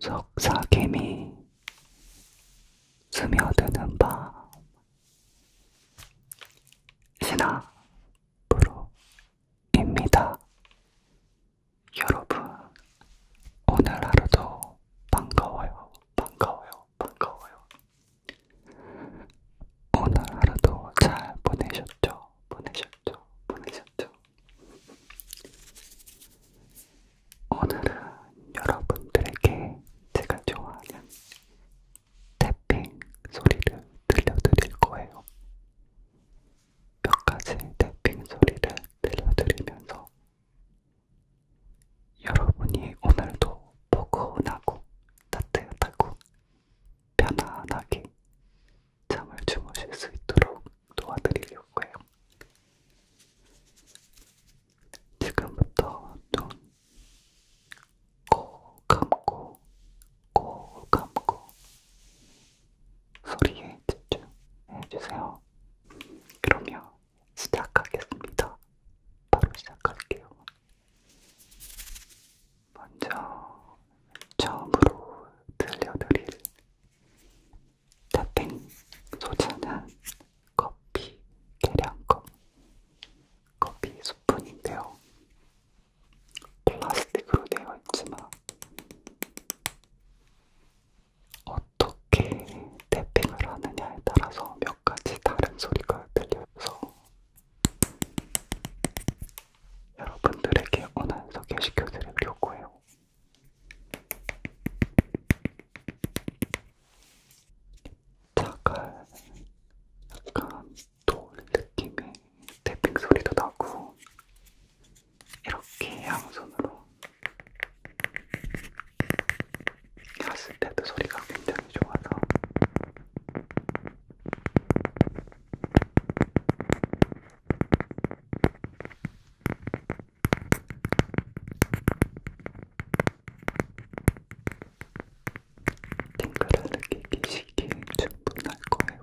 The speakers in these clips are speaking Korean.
속삭임이 스며드는 밤 신화 프로입니다. 여러분 오늘 하루도 반가워요 반가워요 반가워요 오늘 하루도 잘 보내셨죠? 보내셨죠? 보내셨죠? 오늘은 여러분들에게 제가 좋아하는 태핑 소리를 들려드릴 거예요. 몇 가지 태핑 소리를 들려드리면서 여러분이 오늘도 포근하고 따뜻하고 편안하게 잠을 주무실 수 있도록 도와드리려고 해요. 지금부터 눈꼭 감고 꼭 감고 소리에 집중해주세요. 그러면 시작하겠습니다. 바로 시작할게요. 먼저 처음으로 들려드릴 타핑 소재는 커피 계량컵, 커피 스푼인데요. 플라스틱으로 되어 있지만 어떻게 태핑을 하느냐에 따라서 몇 가지 다른 소리가 들려서 여러분들에게 오늘 소개시켜드리려고 해요. 자갈 약간 돌 느낌의 태핑 소리도 나고 이렇게 양손으로 갔을 때도 소리가 굉장히 좋아서 탱글을 느끼시기에 충분할 거예요.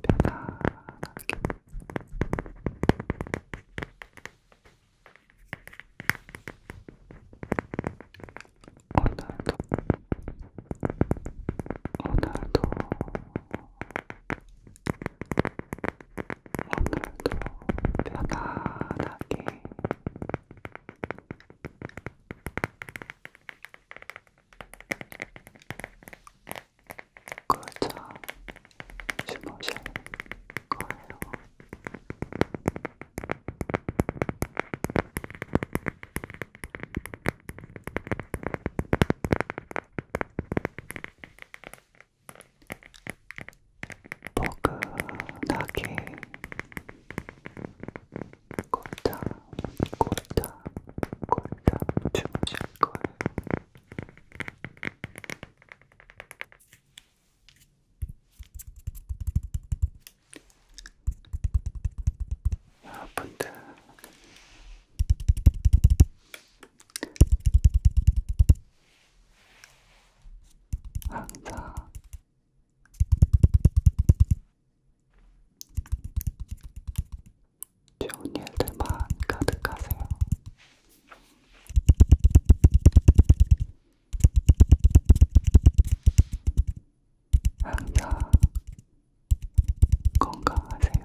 편안하게 오늘도 오늘도 오늘도 편안하게 걸쳐 주무실 거예요. 포근하게 골탕 골탕 골탕 주무실 거예요. 여러분들 아, 네. 항상 좋은 일들만 가득하세요. 항상 건강하세요.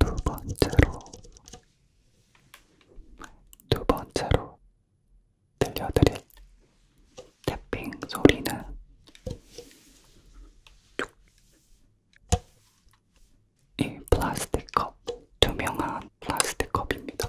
두 번째로 두 번째로 들려드릴 태핑 소리는 이 플라스틱 컵, 투명한 플라스틱 컵입니다.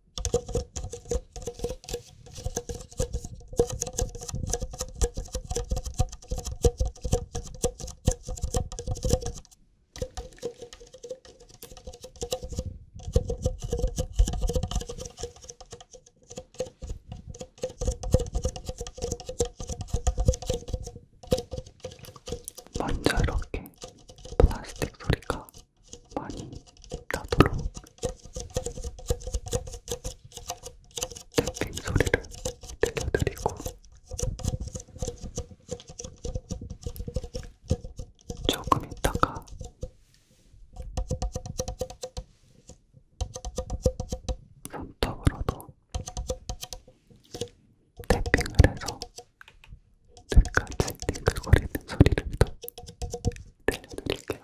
먼저 이렇게 플라스틱 소리가 많이 나도록 탭핑 소리를 들려드리고 조금 있다가 손톱으로도 탭핑을 해서 배까지 링글거리는 소리를 또 들려드릴게요.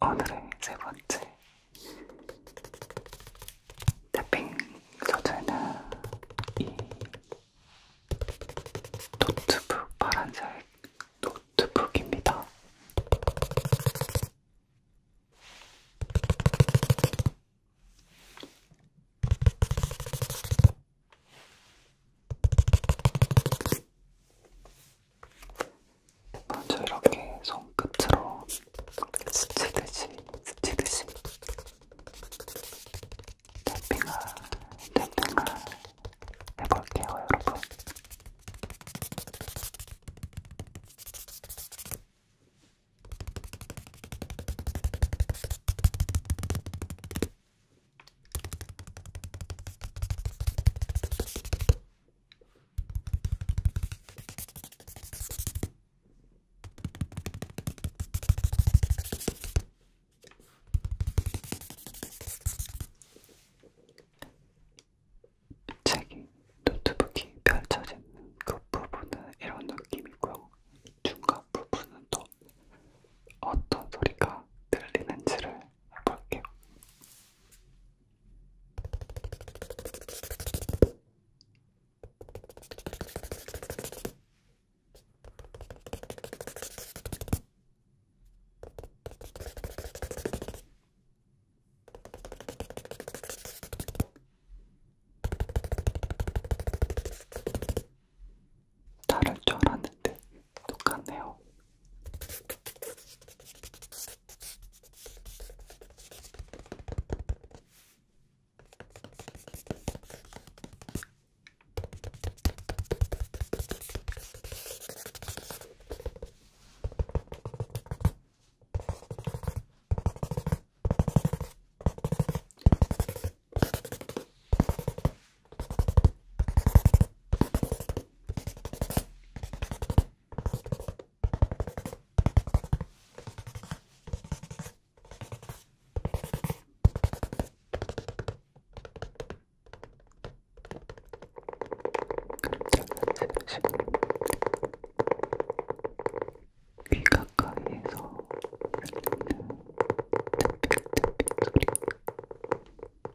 오늘의 세 번째 탭핑 소재는 이 노트북 파란색 노트북입니다. 먼저 이렇게 손끝으로 스치듯이 스치듯이 탭핑을 탭핑을 해볼게요 여러분. 책이 노트북이 펼쳐져 있는 그 부분은 이런 느낌이고요. 중간 부분은 또 어떤 소리가 들리는지를 해볼게요. 다를 줄 알았는데 똑같네요. 귀 가까이에서 들리는 땡땡땡 소리가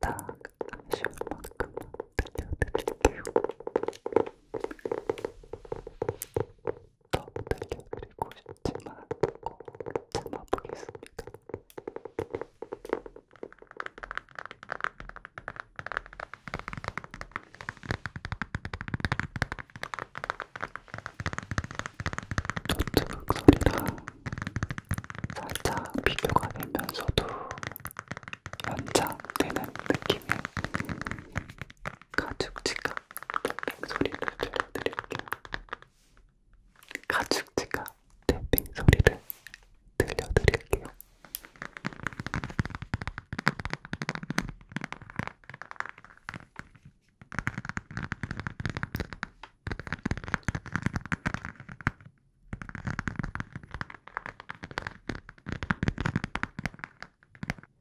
Так, а еще маком придет. 더 들려드리고 싶지만 꼭 참아보겠습니다. 노트북 소리랑 살짝 비교가 되면서도 연장되는 느낌의 가죽 지갑 땡땡 소리를 들려드릴게요. 가죽 지갑 땡땡 소리를 들려드릴게요.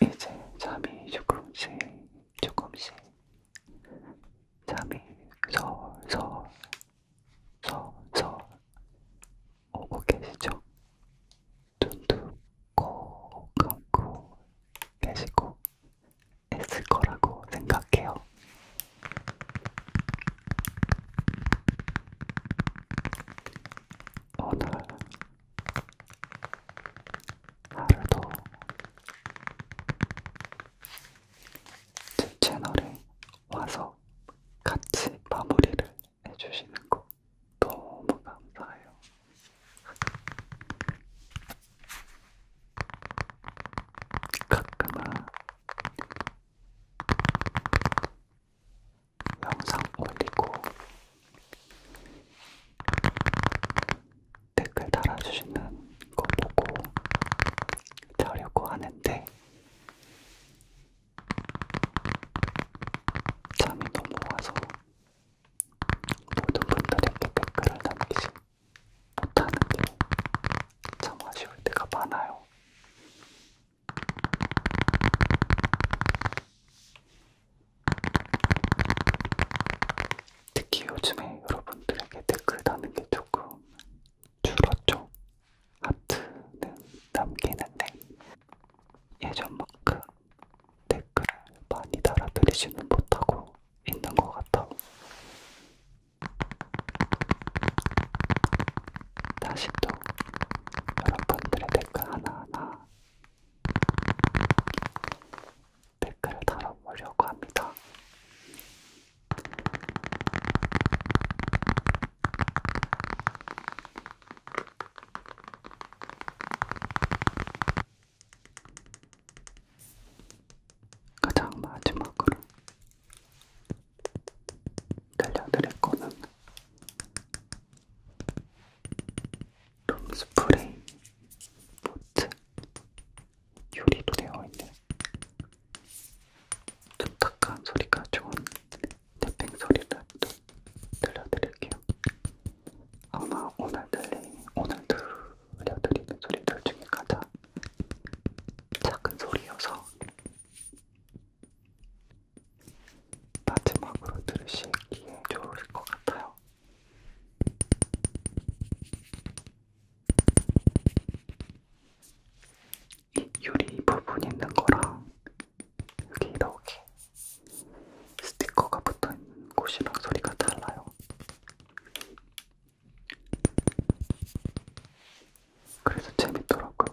이제 잠이 조금씩 조금씩 잠이 솔솔 솔솔 오고 계시죠? 눈도 꼭 감고 계시고 했을 거라고 생각해요. 오늘 하루도 제 채널에 와서 같이 마무리를 해주시는 거 너무 감사해요. 가끔은 영상 올리고 댓글 달아주시는 거 보고 자려고 하는데 잠이 너무 와서 모든 분들에게 댓글을 남기지 못하는 게 참 아쉬울 때가 많아요. 특히 요즘에 여러분들에게 댓글 다는 게 조금 줄었죠. 하트는 남기는데 예전만큼 댓글을 많이 달아드리지는 못하고 있는 것 같아요. 다시 또 여러분들의 댓글 하나하나 댓글을 달아보려고 합니다. 가장 마지막으로 들려드릴 거는 룸스프레이 보트 요리로 되어 있는 뚝딱한 소리가 좋은 탭핑 소리를 또 들려드릴게요. 아마 오늘 들린, 오늘 들려드리는 소리들 중에 가장 작은 소리여서 마지막으로 들으시기에 좋을 것 같아요. 이 유리 부분 있는 거랑 여기 이렇게 스티커가 붙어 있는 곳이랑 소리가 달라요. 그래서 재밌더라고요.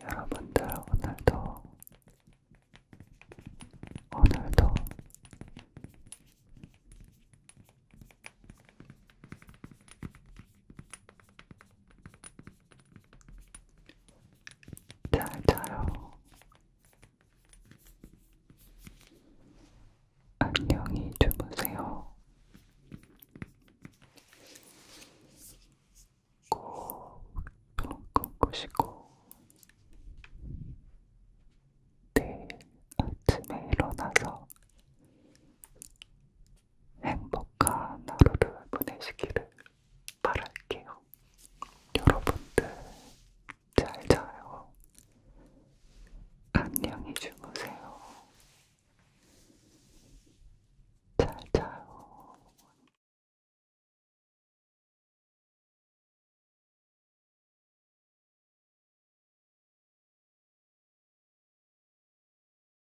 여러분들 오늘도 오늘도 잘 자요. 안녕히 주무세요. 꼭 꿈꾸시고 내일 아침에 일어나서 행복한 하루를 보내시기를 바랄게요. 여러분들 잘 자요. 안녕히 주무세요. 잘 자요.